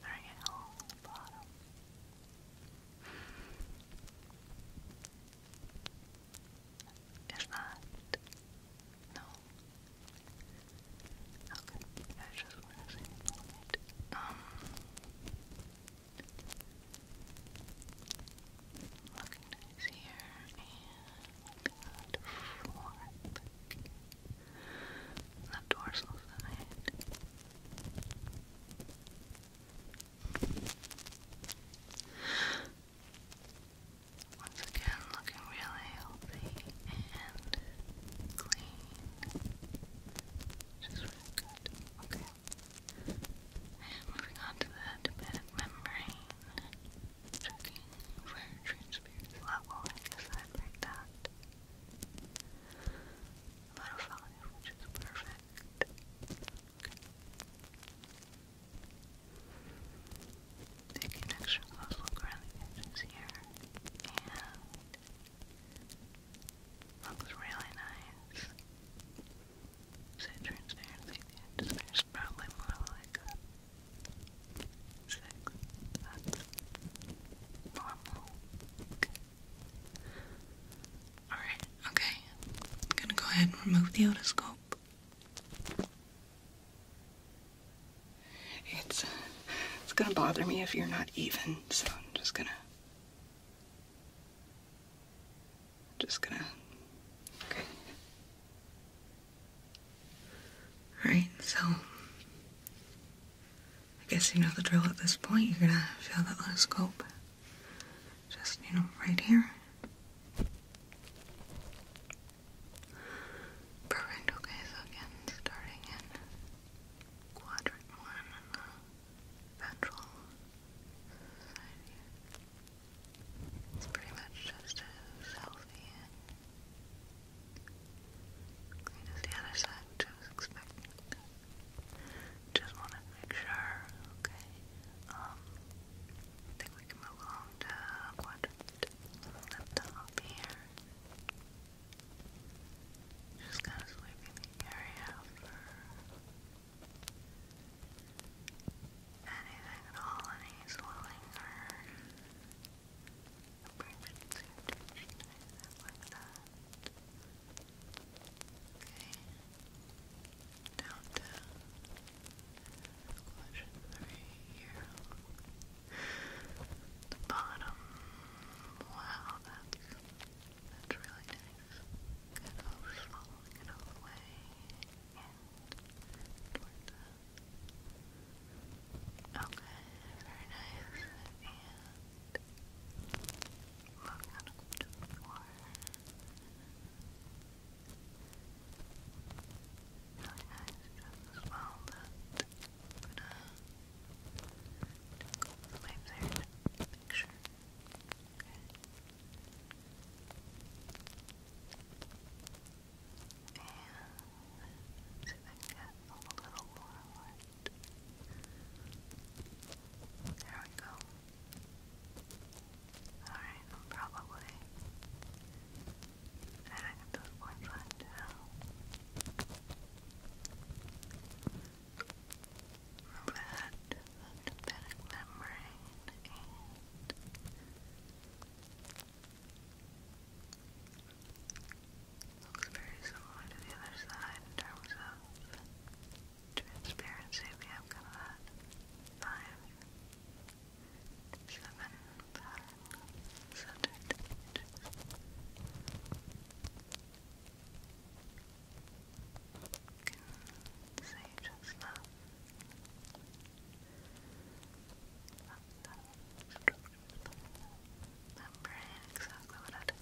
Speaker 1: very whole bottom. Is that no? Okay, I just want to see Looking nice and fourth. The dorsal side. Once again, looking really healthy and clean. Just really good. Okay. And moving on to the hepatic membrane, checking for transparent level, inside like that. About perfect. Okay. extra close look around the edges here, and looks really nice. So transparency at is probably more like a That's normal. Okay. Alright, okay. I'm gonna go ahead and remove the otoscope. It's uh, it's gonna bother me if you're not even, so I'm just gonna just gonna. Okay. Alright, so. I guess you know the drill at this point. You're gonna feel that little scope. Just, you know, right here. Perfect. Okay, so again, starting in quadrant one. Natural Society. It's pretty much just as healthy and the other side, which expecting. Just wanted to make sure, okay. Um, think we can move along to quadrant at top here. Just kind of sweeping the area for Anything at all, any swelling or abrasions or anything like that. Okay. Down to question three here. The bottom. Wow, that's that's really nice. Good old slow, good old way in toward that. Okay, very nice. And we're going the floor. Really nice just as the way there to make Okay. And see get a little There we go. Alright, I'm probably adding a bit more fun red lymphatic membrane looks very similar to the other side in terms of transparency. We have kind of say just love. Remembering exactly what I did.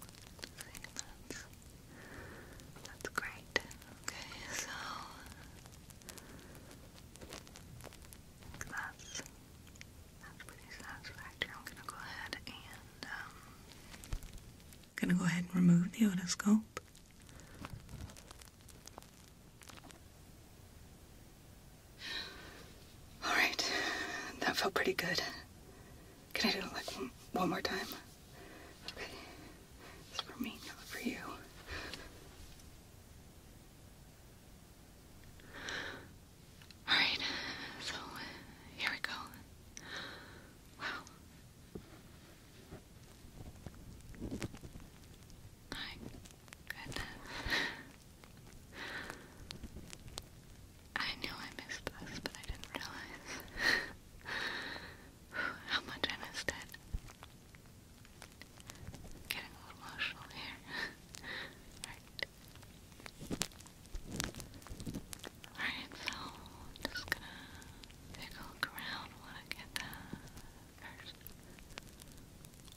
Speaker 1: that's, great. Okay, so that's that's pretty satisfactory. I'm gonna go ahead and um, gonna go ahead and remove the otoscope. All right. That felt pretty good. Can I do it like one, more time? Okay. It's for me, not for you. All right. So, here we go. Wow. My goodness. I knew I missed this, but I didn't realize how much I missed it. Getting a little emotional here. Alright. Alright, so just gonna take a look around when I get that first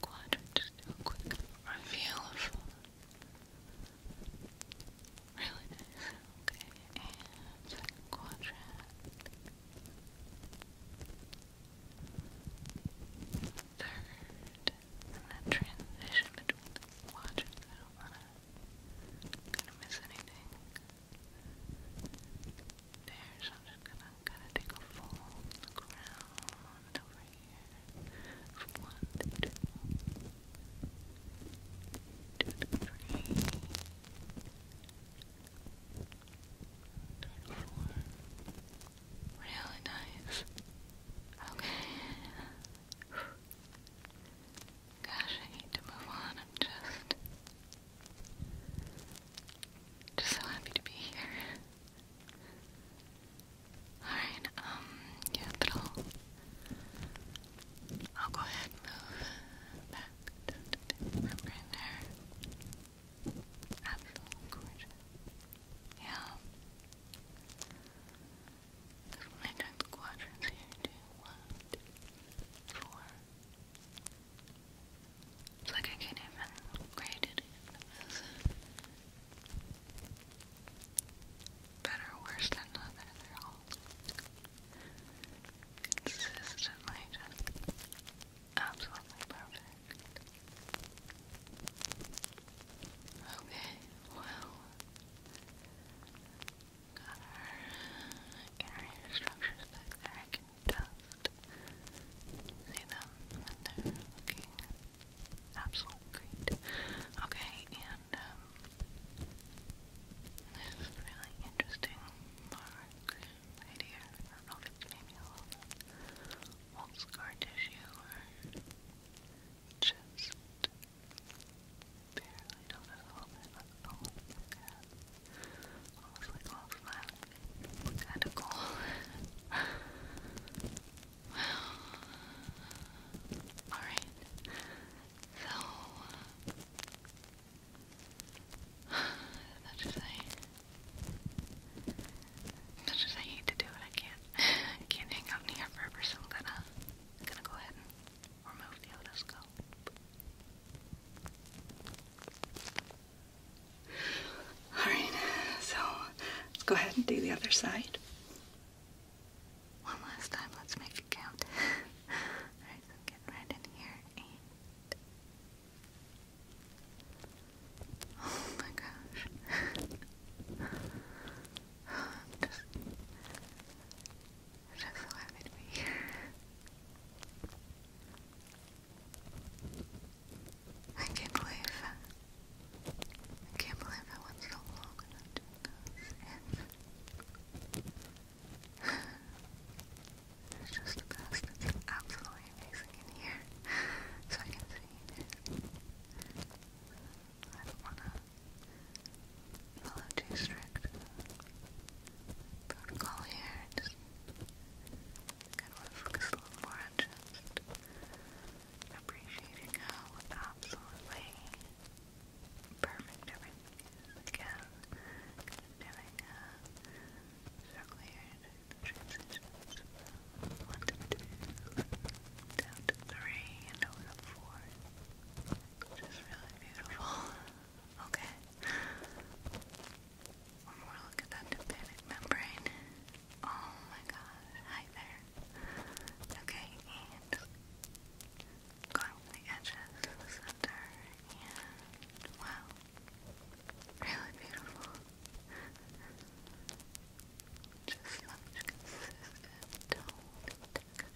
Speaker 1: quadrant. Just do a quick reveal of really Okay, second quadrant. Third, and that transition between quadrants. don't wanna kind of miss anything. There, so I'm just gonna kinda take a fold on the ground over here. From one Really nice. Okay. Gosh, I hate to move on. i just just so happy to be here. Alright, um, yeah, I'll, go ahead and move back right there. Absolutely gorgeous. Yeah. This one I the quadrants here. Two, one, two, four, it's like I can't even grade it as better or worse than the other. They're all consistently just absolutely perfect. Okay, well, Got our area structures back there. I can just see them and they're looking absolutely great. Okay, and um this is really interesting mark right here. I don't know if it's maybe a little bit old scar tissue or just barely notice Kinda cool. wow. Alright. So that's just I that's just I hate to do it. I can't can't hang out here forever, so i gonna gonna go ahead Alright, so let's go ahead and do the other side. One last time, let's make it count. Alright, so get right in here Oh my gosh. Just just laugh at me. I can't believe I can't believe I went so long not doing those it's just the best. It's absolutely amazing in here. So I I don't wanna follow too strict protocol here. Just kind of want to focus a little more on just appreciating how absolutely perfect everything is. Again, kind of doing a circle here and transitions from one to two, down to three, and over to four. Which is really beautiful. Okay. One more look at that tympanic membrane. Oh my gosh. Hi there. Okay, and going the edges center, and wow. Really beautiful. Just such consistent tone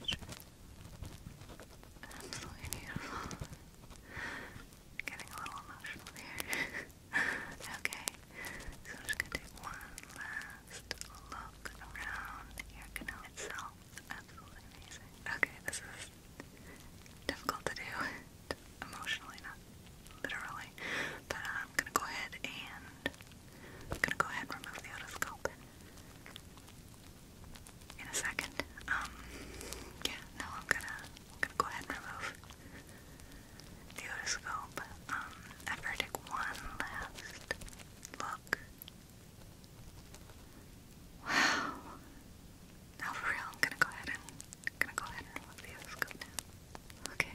Speaker 1: and Absolutely beautiful. Getting a little emotional here. okay, so I'm just gonna take one last look around the canal itself. Absolutely amazing. Okay, this is difficult to do emotionally, not literally, but I'm gonna go ahead and I'm gonna go ahead and remove the otoscope in a second. Um, yeah, no, I'm gonna, gonna go ahead and remove the otoscope. Um, after I take one last look. Wow. Now for real, I'm gonna go ahead and gonna go ahead and remove the otoscope Okay.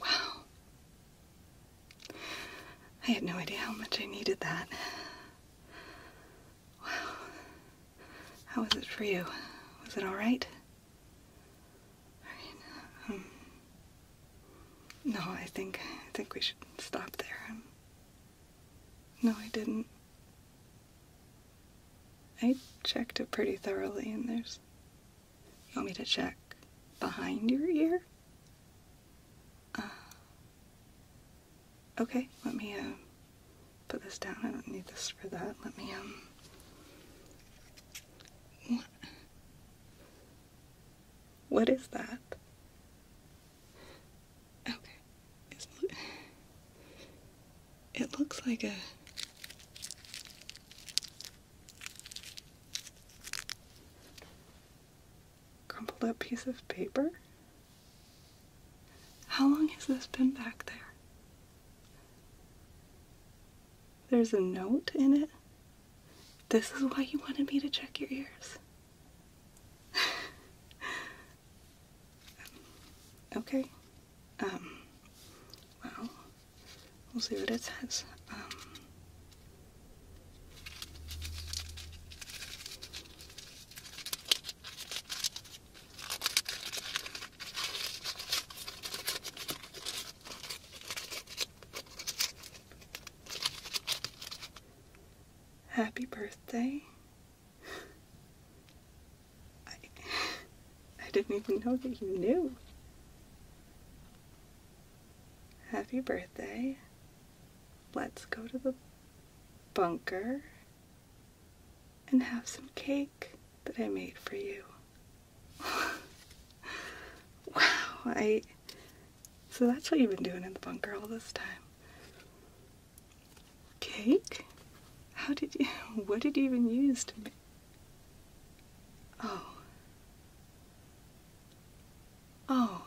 Speaker 1: Wow. I had no idea how much I needed that. Wow. How was it for you? Was it alright? Um, no, I think, I think we should stop there. Um, no, I didn't. I checked it pretty thoroughly, and there's you want me to check behind your ear? Uh, okay, let me um, put this down. I don't need this for that. Let me, um. What is that? Okay. it looks like a. Crumpled up piece of paper? How long has this been back there? There's a note in it. This is why you wanted me to check your ears. okay. Um, well, We'll see what it says. Um, Happy birthday. I didn't even know that you knew. Happy birthday. Let's go to the bunker and have some cake that I made for you. wow, I. So that's what you've been doing in the bunker all this time. Cake? How did you. What did you even use to make. Oh. Oh.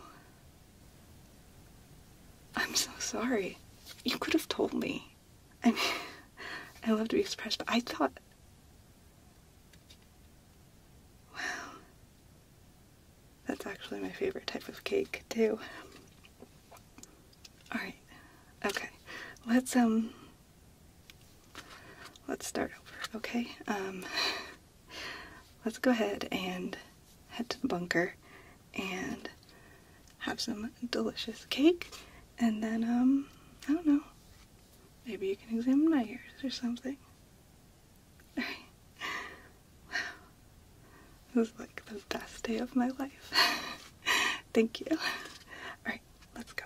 Speaker 1: I'm so sorry. You could have told me. I mean, I love to be expressed, but I thought. Wow. That's actually my favorite type of cake, too. Alright. Okay. Let's, um. Let's start over, okay? Um let's go ahead and head to the bunker and have some delicious cake and then um, I don't know maybe you can examine my ears or something wow this is like the best day of my life thank you all right let's go